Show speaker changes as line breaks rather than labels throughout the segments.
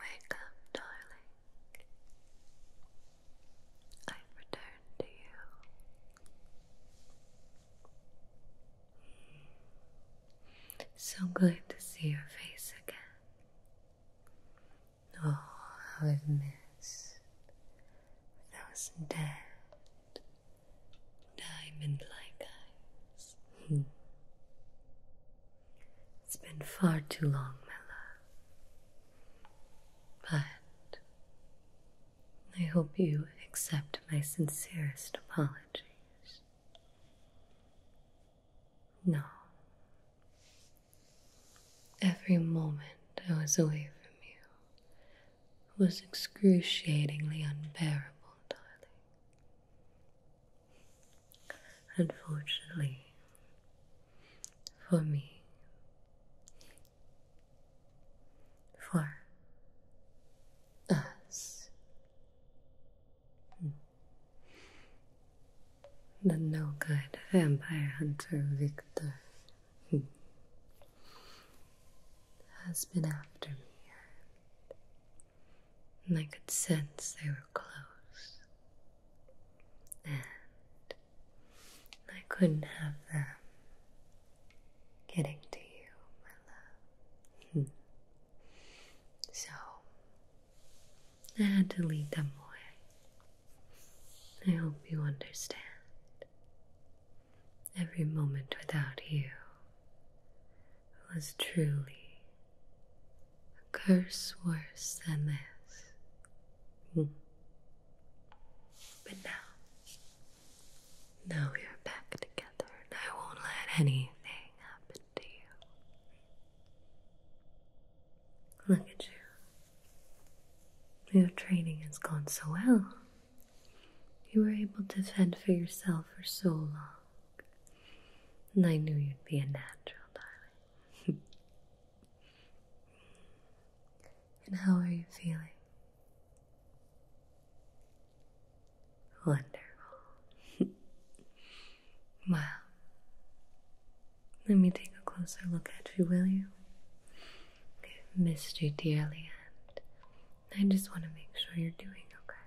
Wake up, darling. I've returned to you. So good to see your face again. Oh, how I've missed those dead, diamond like eyes. Hmm. It's been far too long, my love. But I hope you accept my sincerest apologies. No. Every moment I was away from you was excruciatingly unbearable, darling. Unfortunately, for me, for us, the no good vampire hunter Victor has been after me and I could sense they were close. And I couldn't have them getting to you, my love. so I had to lead them away. I hope you understand. Every moment without you was truly a curse worse than this. Hmm. But now, now we are back together, I won't let anything happen to you. Look at you. Your training has gone so well. You were able to fend for yourself for so long. And I knew you'd be a natural, darling. and how are you feeling? Wonderful. Well, Let me take a closer look at you, will you? I've missed you dearly, and I just want to make sure you're doing okay.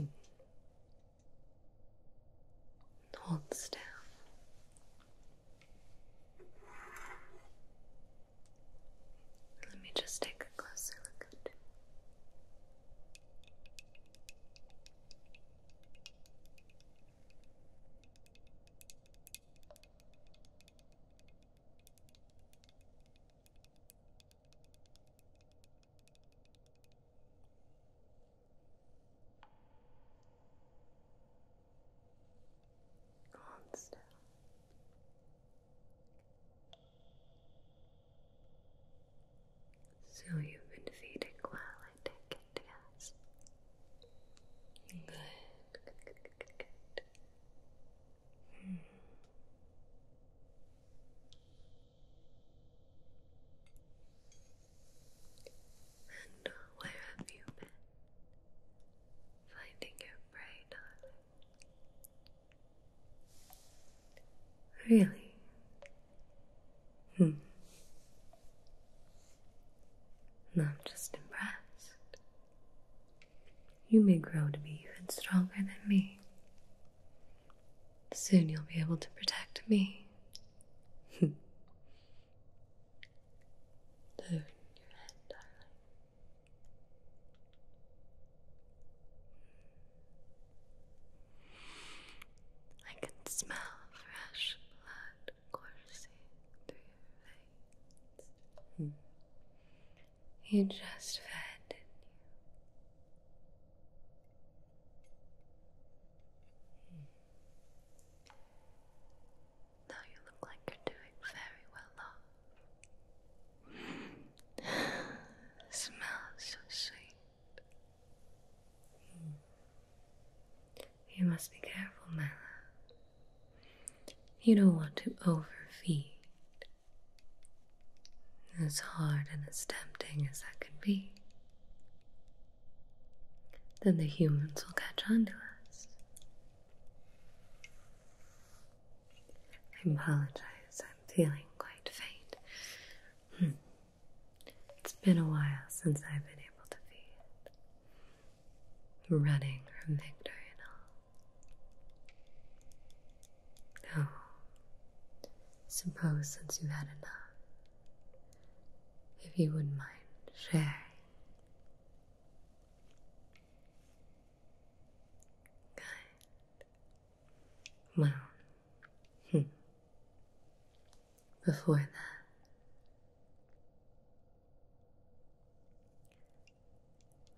Hmm. Hold still. Let me just take a closer look at Calm So you've been feeding while I take it, yes. Good, good, good. And where have you been? Finding your prey, darling. Really? Hmm. I'm just impressed. You may grow to be even stronger than me. Soon you'll be able to protect me. I can smell fresh blood coursing through your veins. Hmm. You just fed, didn't hmm. you?
Now you look like you're doing very well, love. Smells so sweet.
Hmm. You must be careful, my love. You don't want to overfeed. As hard and as tempting as that can be. Then the humans will catch on to us. I apologize, I'm feeling quite faint. Hmm. It's been a while since I've been able to feed running from Victorina. No, oh, suppose since you've had enough, if you wouldn't mind sharing. Well, hmm. before that,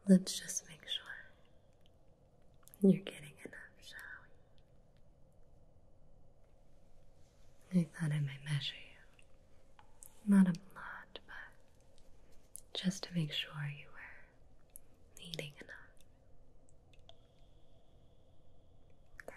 Let's just make sure you're getting enough, shall I thought I might measure you. Not a lot, but just to make sure you were eating enough. Okay.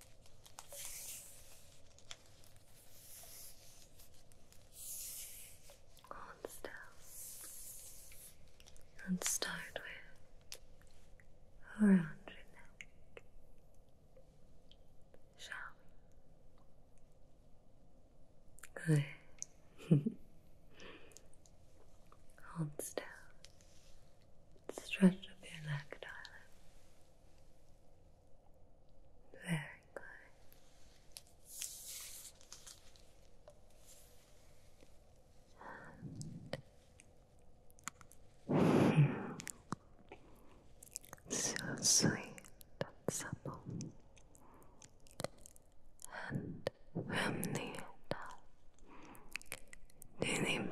Hold still and start with around your neck, shall we? Good. Hold still. Stretch up your neck, darling. Very good. Hmm. so sweet
and supple, and from the top to the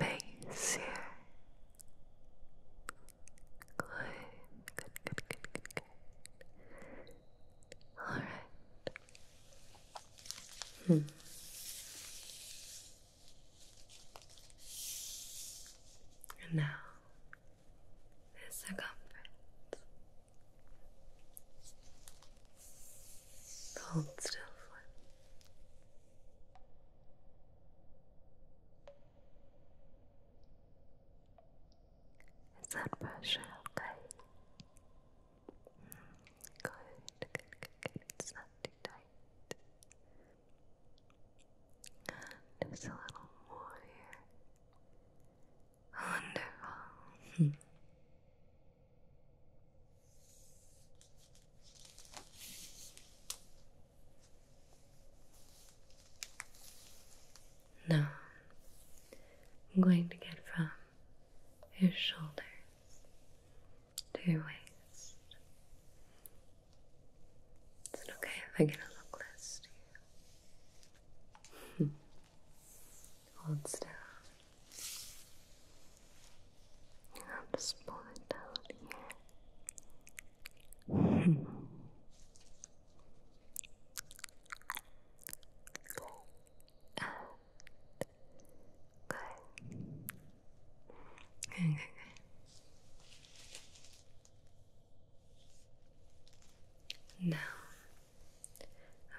Good,
good, good, good, good. All right. And now, the circumference. Hold still for is that pressure okay? good, good, good, good. It's not too tight. Just a little more here. Wonderful. No, I'm going to get from your shoulders to your waist. Is it okay if I get a little close to you? Hold still. I'll just pull down here good. Good,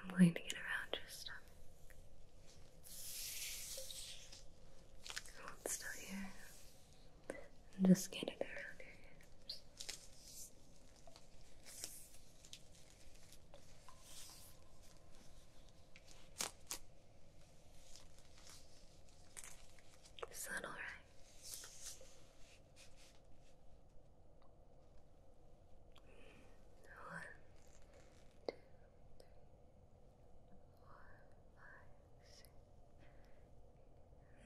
I'm going to get around your stomach. Hold still here. And just get it around your hips.
Is that all right? One, two, three, four,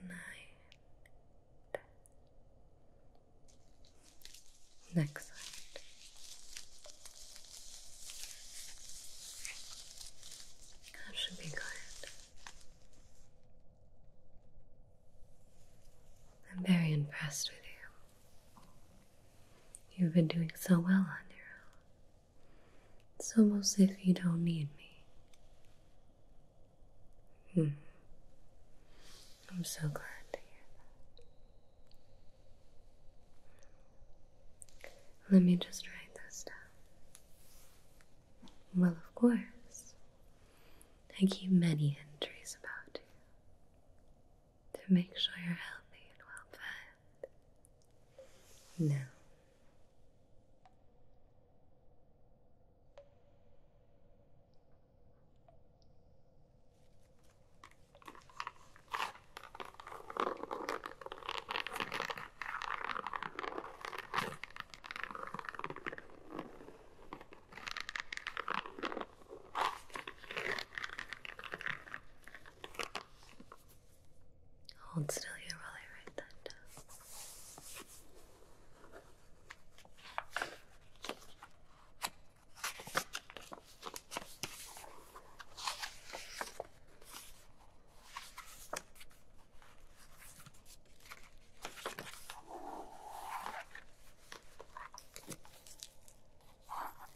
nine.
Next side. That should be good. I'm very impressed with you. You've been doing so well on your own. It's almost as if you don't need me. Hmm. I'm so glad to hear that. Let me just write this down. Well, of course, I keep many entries about you to make sure you're healthy and well fed that. Now. Hold still here while I write that down.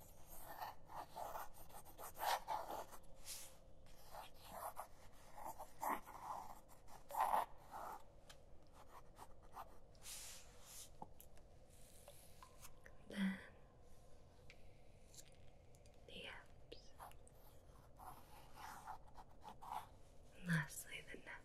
Then the abs, and lastly the neck.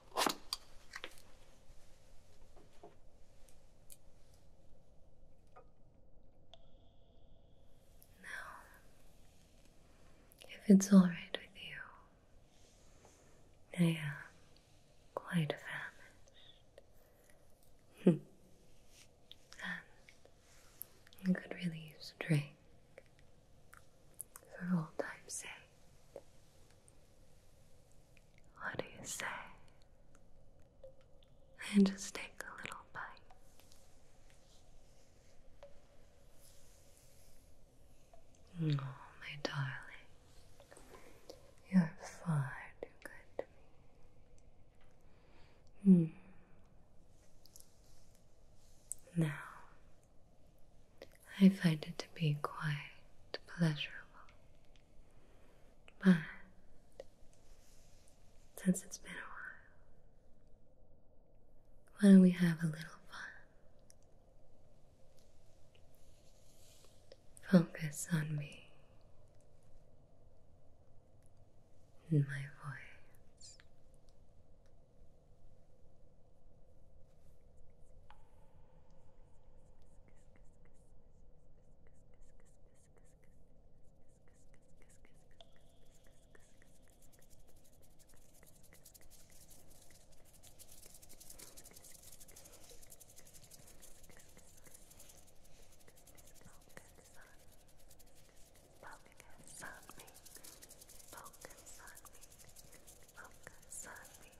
Now, if it's all right with you, I am quite famished. and I could really use a drink for old time's sake. What do you say? And just take a little bite. Oh, my darling, you're far too good to me. Hmm. Now, I find it to be quite pleasurable. But since it's been a while, why don't we have a little fun? Focus on me and my voice. Focus on me. Focus on me.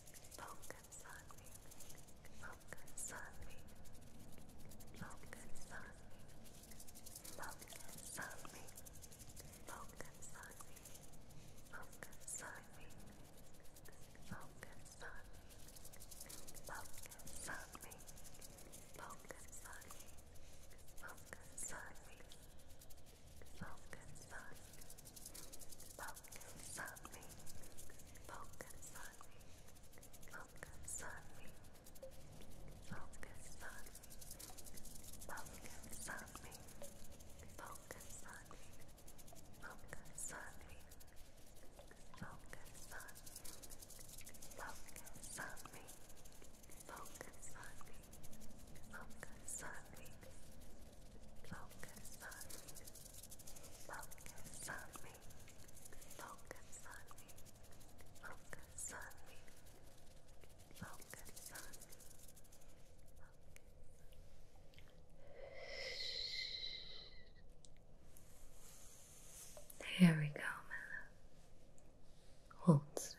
Focus on me. Focus on me. Focus on me. Focus on me. Focus on me. Focus on me. Focus on me. Focus on me. Focus on me. Focus on me. Focus on me. Focus on me. Focus on me. Focus on me. Focus on me. Focus on me. Focus on me. Focus on me. Focus on me. Focus on me. Focus on me. Focus on me. Focus on me. Focus on me. Focus on me. Focus on me. Focus on me. Focus on me.
There we go, Mella. Hold still.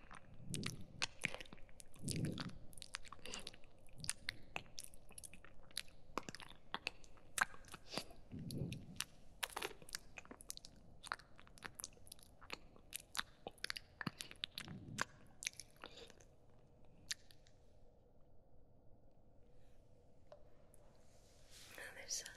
Another side.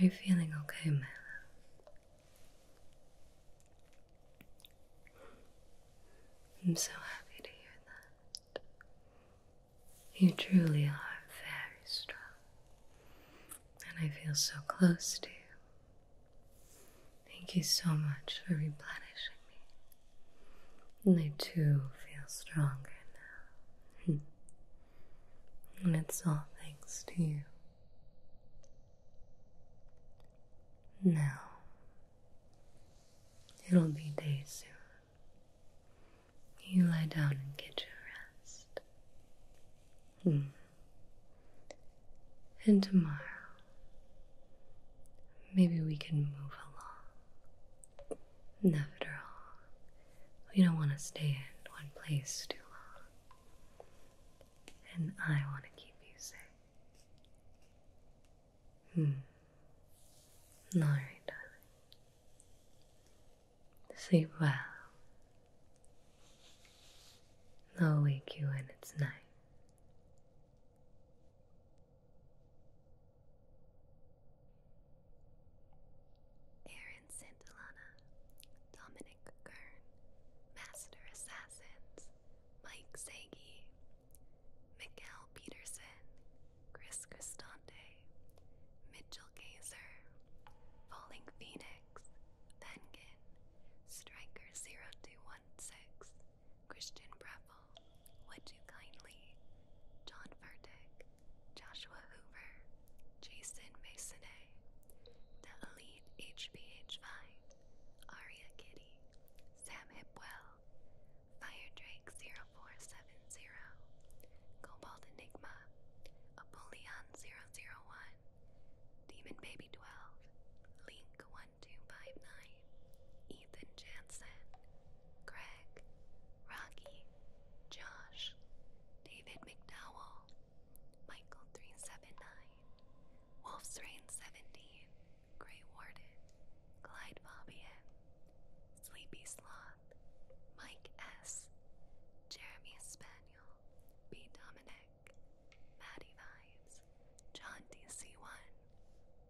Are you feeling okay, my I'm so happy to hear that. You truly are very strong, and I feel so close to you. Thank you so much for replenishing me. And I too feel stronger now. and it's all thanks to you. Now, it'll be day soon. You lie down and get your rest. Hmm. And tomorrow, maybe we can move along. After all, we don't want to stay in one place too long. And I want to keep you safe. Hmm. All right, darling. Sleep well. I'll wake you when it's night.
Aaron Santillana, Dominic Kern, Master Assassins, Mike Segi, Mikkel Peterson, Chris Cristante, Mitchell Gazer, Falling Phoenix, Penguin, Striker0216, Christian Breffel, Would You Kindly, John Furtick, Joshua Hoover, Jason Masonay, Delia Reed, HBH Aria Kitty, Sam Hipwell, Fire Drake 0470, Cobalt Enigma, Apollyon 001, Demon Baby 12, Link 1259, Ethan Jansen, Greg, Rocky, Josh, David McDowell, Michael 379, Wolf's Rain 17, Grey Warden, Clyde Bobby M, Sleepy Sloth, Mike S, Jeremy Spaniel, B. Dominic, Maddie Vibes, John DC1,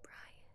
Brian.